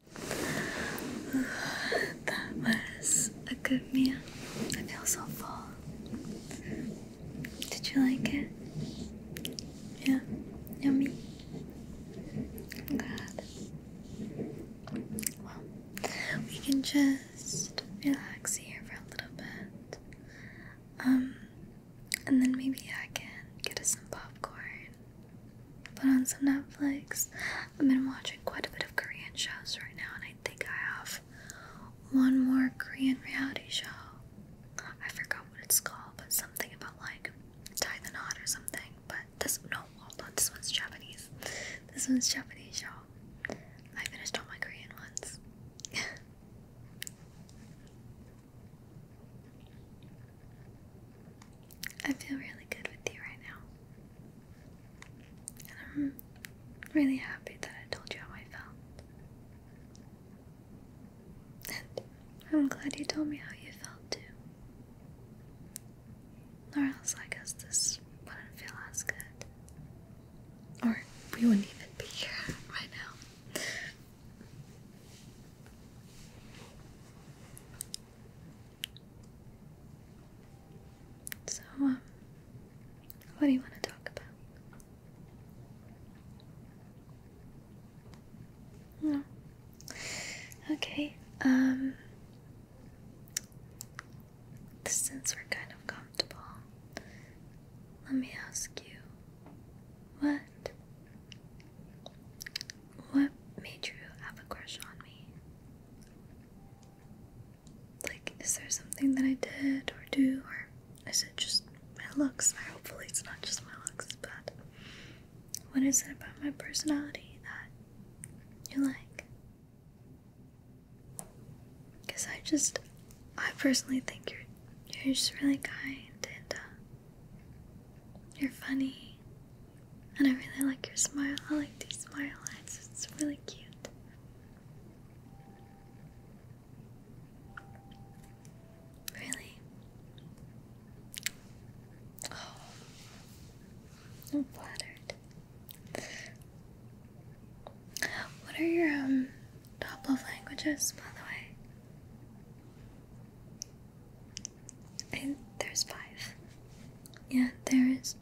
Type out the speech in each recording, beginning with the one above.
that was a good meal. I feel so full. Did you like it? Yeah, yummy. I'm Well, we can just relax here for a little bit. Um, and then maybe I can get us some popcorn Put on some Netflix. I've been watching quite a bit of Korean shows right now, and I think I have one more Korean reality show. I forgot what it's called, but something about like tie the knot or something. But this no, hold on, this one's Japanese. This one's Japanese show. I finished all my Korean ones. I feel really good with you right now. And I'm really happy that I told you how I felt. And I'm glad you told me how you felt too. Or else I guess this wouldn't feel as good. Or we wouldn't even be here right now. So, um, what do you want to talk about? Hmm. Okay, um, since we're kind of comfortable, let me ask you what what made you have a crush on me? Like, is there something that I did or do, or is it just my looks? I hopefully, it's not just my looks, but what is it about my personality that you like? Because I just, I personally think you're you're just really kind and uh, you're funny and I really like your smile. I like these smile lines. It's really cute. Really? Oh, I'm flattered. What are your um top love languages, by the way? there's five. Yeah, there is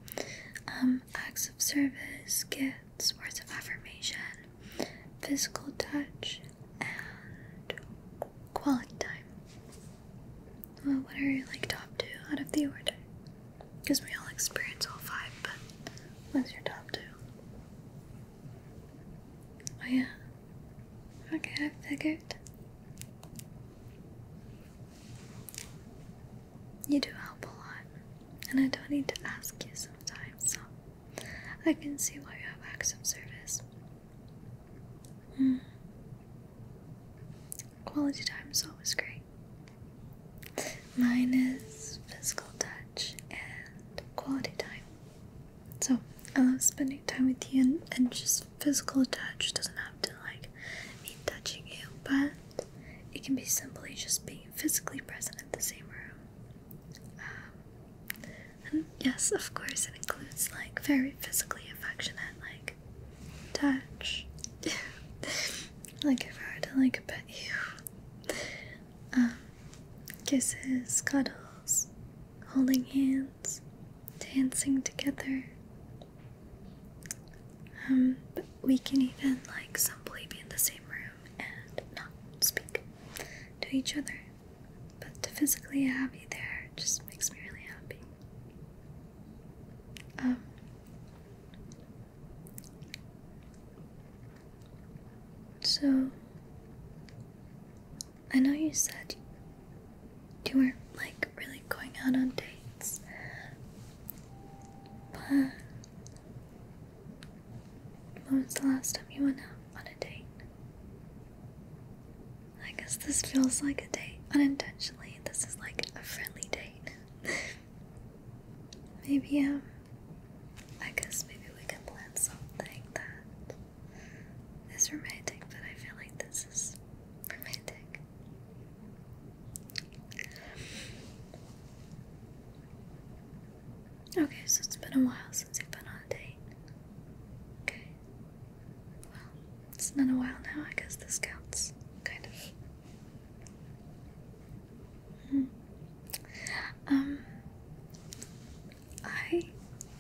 um, acts of service, gifts, words of affirmation, physical touch, and quality time. Well, what are your like top two out of the order? Because we all experience all five, but what's your top two? Oh yeah. Okay, I figured. You do help a lot, and I don't need to ask you sometimes, so I can see why you have acts of service. Hmm. Quality time is always great. Mine is physical touch and quality time. So I love spending time with you and just physical touch doesn't have to like mean touching you, but it can be simply just being physically present in the same room. Um, and yes, of course, it includes like very physically affectionate like touch. like if I were to like pet you, um, kisses, cuddles, holding hands dancing together. Um, we can even like simply be in the same room and not speak to each other. But to physically have you there just makes me really happy. Um, so I know you said you weren't like really going out on dates. But when was the last time you went out on a date? I guess this feels like a date unintentionally. This is like a friendly date. maybe, um, I guess maybe we can plan something that is romantic, but I feel like this is romantic. Okay, so it's been a while since you've been on a date. Okay. Well, it's been a while now. I guess this counts. Kind of. Hmm. Um, I,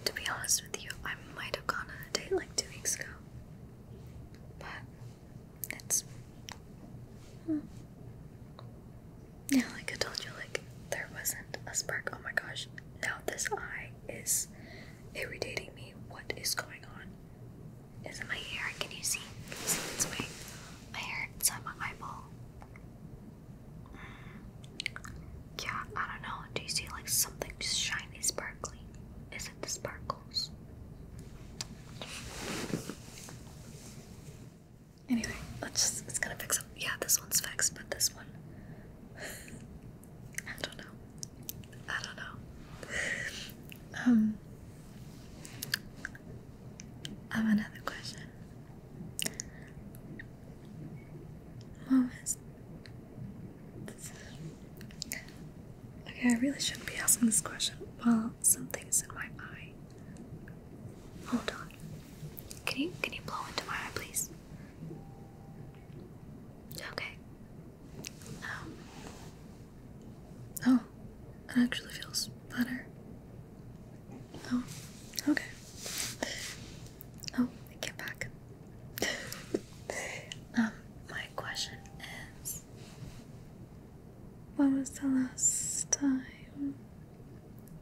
to be honest with you, I might have gone on a date like two weeks ago. But it's hmm. yeah, like I told you, like there wasn't a spark. Oh my gosh! Now this eye is irritating me. What is going on? Is it my hair? Can you see? Can My hair inside my eyeball. Mm. Yeah, I don't know. Do you see like something just shiny, sparkly? Is it the sparkle? Anyway, let's just, it's gonna fix up. Yeah, this one's fixed, but this one. I don't know. I don't know. Um, I have another question. Moments Okay, I really shouldn't be asking this question. Well, something's in my eye. Hold on. Can you can you blow into my eye, please? Okay. Um. Oh, it actually feels better. Oh, okay. Oh, get back. um, my question is When was the last time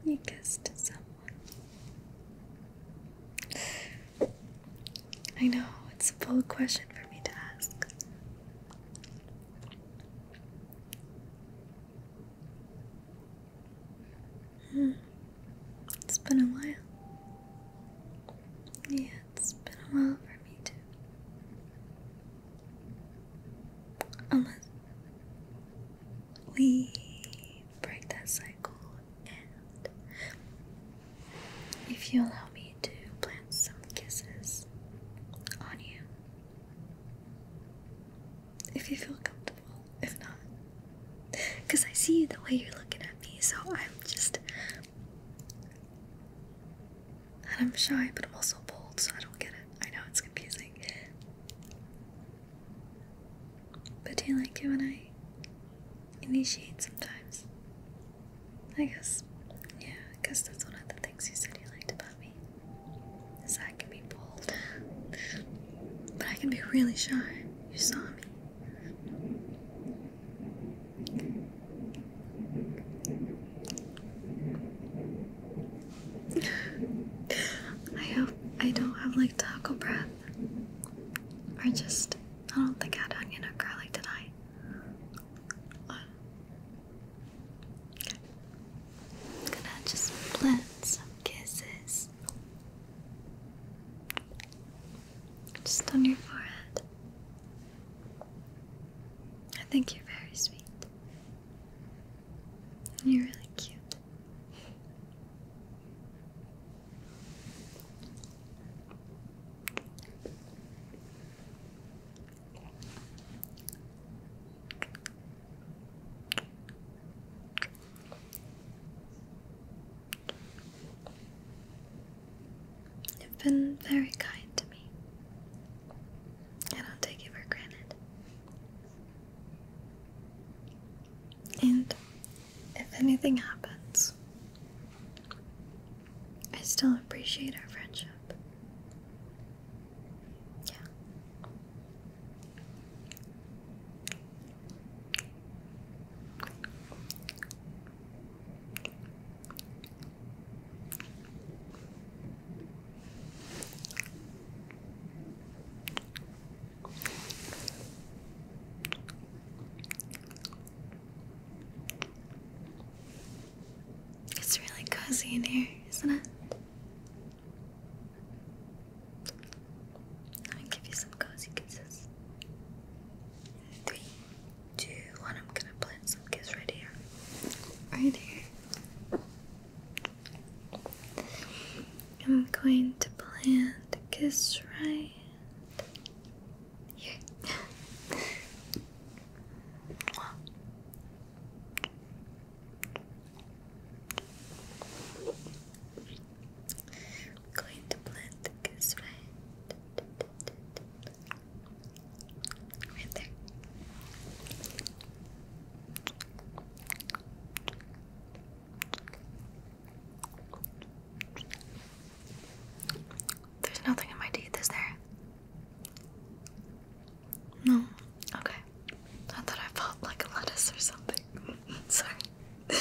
you kissed someone? I know, it's a bold question for me to ask. Hmm. It's been a while. Yeah. It's been a while for me too. Unless we break that cycle, and if you allow me to plant some kisses on you, if you feel comfortable, if not, because I see the way you're looking at me, so I'm just and I'm shy, but I'm also bold, so I don't get it. I know it's confusing. But do you like it when I initiate sometimes? I guess, yeah, I guess that's one of the things you said you liked about me. Is that I can be bold. but I can be really shy. You saw me. I hope I don't have like taco breath. Or just, I don't think I had onion or garlic, tonight. I'm gonna just blend some kisses. Just on your forehead. I think you're very sweet. You're really cute. You've been very kind to me. I don't take it for granted. And if anything happens, I still appreciate our friendship. Yeah. It's really cozy in here, isn't it? Let me give you some cozy kisses. Three, two, one. I'm gonna plant some kiss right here. Right here. I'm going to plant a kiss right here. going to plant the kiss right there's nothing in my teeth, is there? No. Okay. Not that I felt like a lettuce or something. Sorry.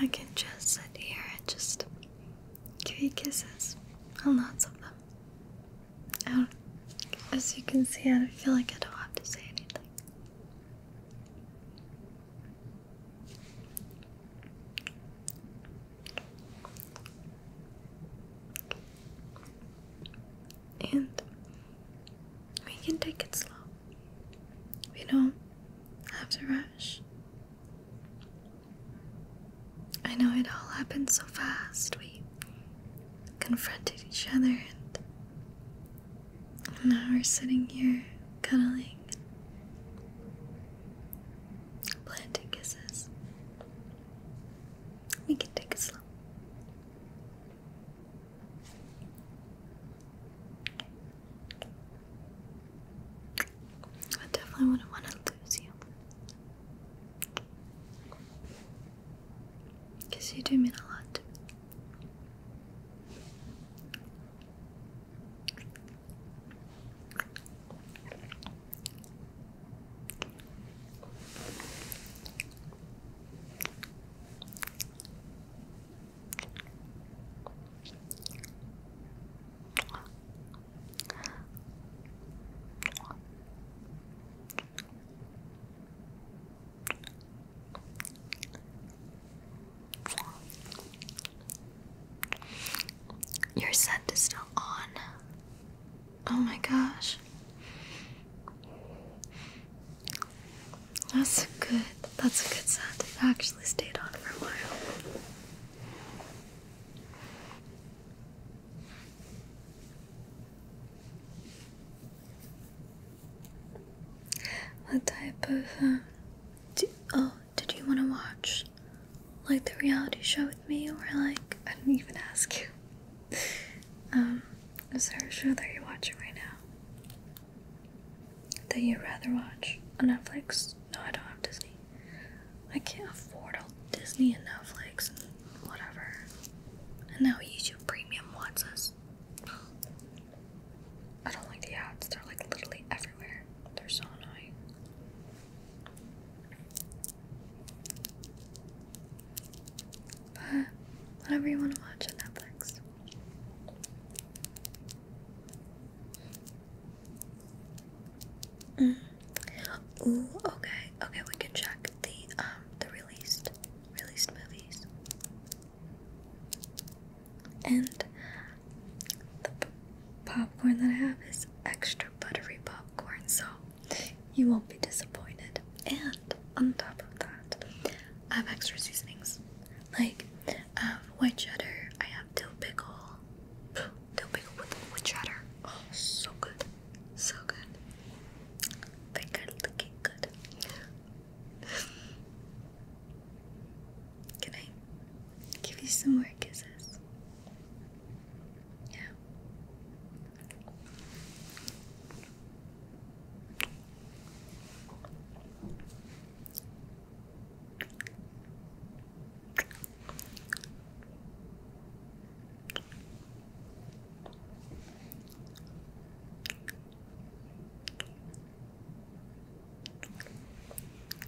I can just sit here and just give you kisses and lots of them. I as you can see, I don't feel like I don't have to say anything. And we can take it slow. You know, not have to rush. I know it all happened so fast. We confronted each other, and, and now we're sitting here cuddling, planting kisses. We can take it slow. I definitely wouldn't want to lose you. Because you do mean a lot to me. Your scent is still on. Oh my gosh. That's good. That's a good scent. It actually stayed on for a while. What type of um, oh did you want to watch like the reality show with me or like I didn't even ask you um is there a show that you're watching right now that you'd rather watch on Netflix? No, I don't have Disney. I can't afford all Disney and Netflix and whatever. And YouTube Premium wants us. I don't like the ads, they're like literally everywhere. They're so annoying. But whatever you want to watch on Netflix. Mm. Ooh, okay, okay, we can check the um the released released movies. And the popcorn that I have is extra buttery popcorn, so you won't be disappointed. And on top of that, I have extra seasonings. Like I um, have white cheddar. I have dill pickle. Dill pickle with, white cheddar. Oh, so good. So good. They are looking good. Can I give you some more kisses? Yeah.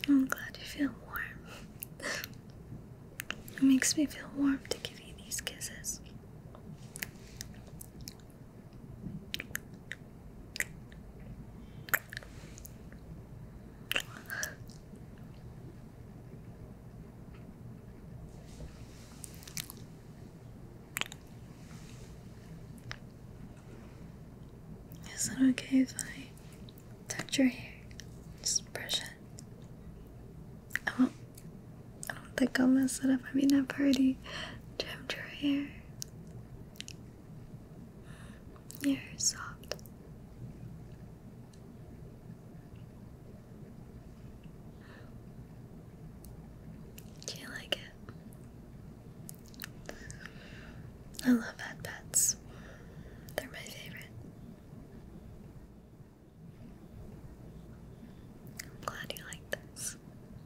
I'm glad you feel warm. it makes me feel warm to give you these kisses. Is it okay if I touch your hair? Just brush it. I won't. I don't think I'll mess it up. I mean, I've already trimmed your hair. You're soft. Do you like it? I love bad They're my favorite. I'm glad you like this.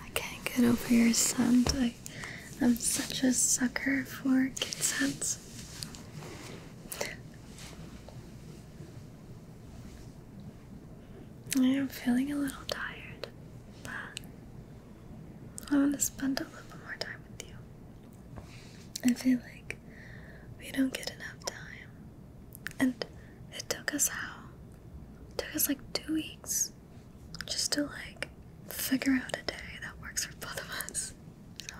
I can't get over your scent. I, am such a sucker for kid scents. I am feeling a little tired, but I want to spend a little bit more time with you. I feel like we don't get enough time. And it took us how? took us like two weeks just to like figure out a day that works for both of us. So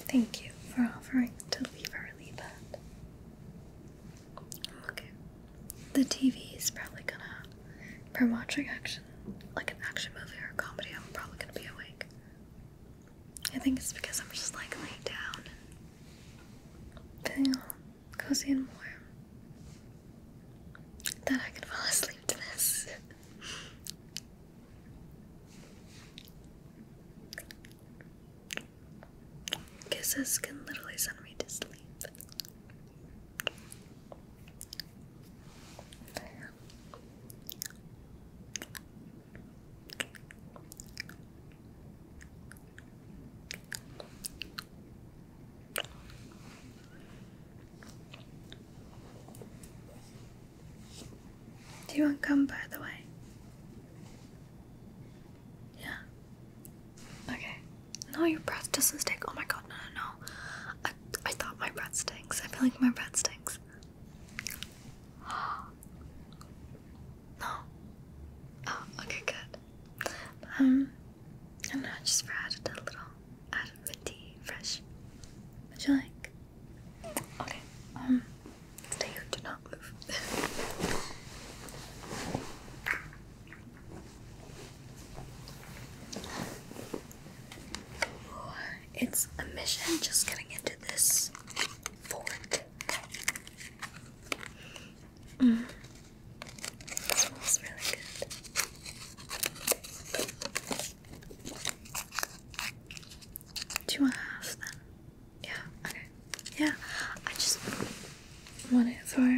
thank you for offering to leave early but okay. The TV is probably gonna if watching action like an action movie or a comedy, I'm probably gonna be awake. I think it's because I'm just like laying down feeling cozy and warm that I could fall asleep to this. Kisses can literally send me to sleep. Do you want gum, by the way? Yeah. Okay. No, your breath doesn't stink. Oh my god, no, no, no. I, I thought my breath stinks. I feel like my breath stinks. No. Oh, okay, good. Um, and now just added a little, added minty fresh. Would you like? Okay. Um, stay here. Do not move. It's a mission just getting into this fork. smells really good. Do you want half then? Yeah, okay. Yeah, I just want for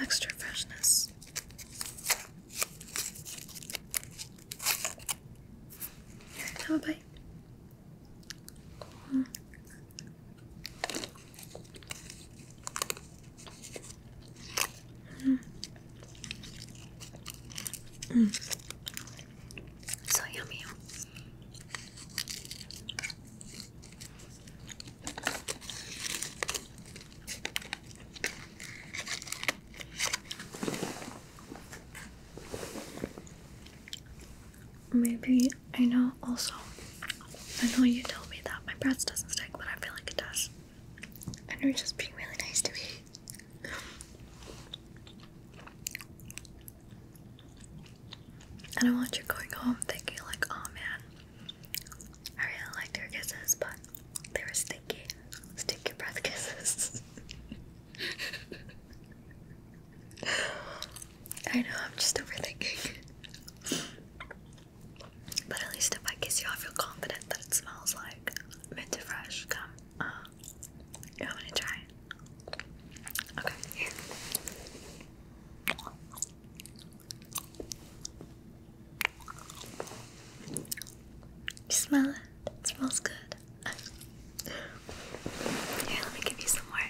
extra freshness. Have a bite. Mm. Mm. So yummy. Maybe I know also. I know you told me that my breath doesn't stick, but I feel like it does. And you're just being really nice to me. And I want you going home thinking like, oh man, I really liked your kisses, but they were sticky. Stick your breath kisses. I know, I'm just overthinking. But at least if I kiss you, I feel confident that it smells like minty fresh Come, uh, you want to try Okay, smell it smells good. Here, let me give you some more.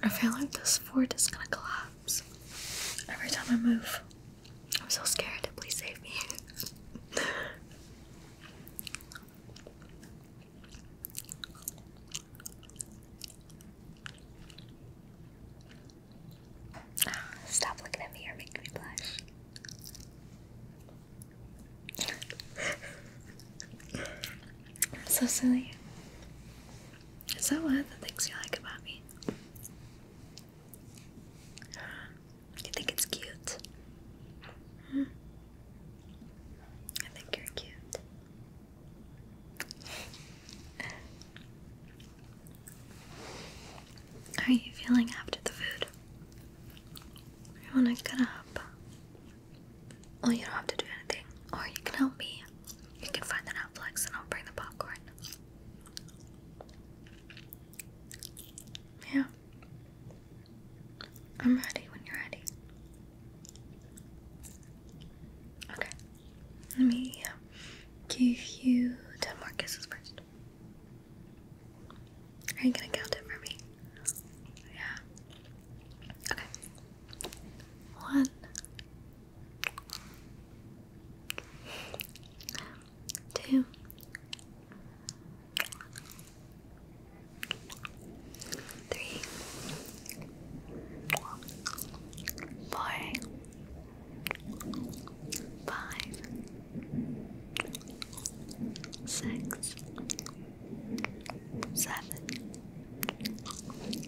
I feel like this fort is gonna collapse every time I move. I'm so scared. Please save me stop looking at me or making me blush. so silly. Is that one the things you like about me? You think it's cute? Hmm. I think you're cute. How are you feeling after the food? You wanna get up? Well, oh, you don't have to do anything. Or you can help me. You can find the Netflix and I'll bring the popcorn. Yeah. I'm ready when you're ready. Okay. Let me give you ten more kisses first. Are you gonna count it for me? Yeah. Okay. One, two, three, four five, six, seven,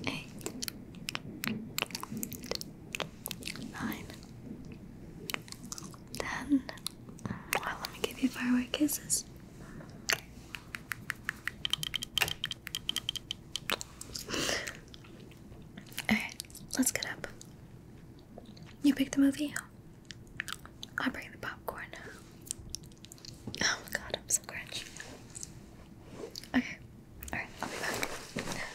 eight, nine, ten. let me give you firework kisses. Okay, let's get up. You pick the movie? i bring the popcorn. Oh my god, I'm so cringe. Okay, alright, I'll be back.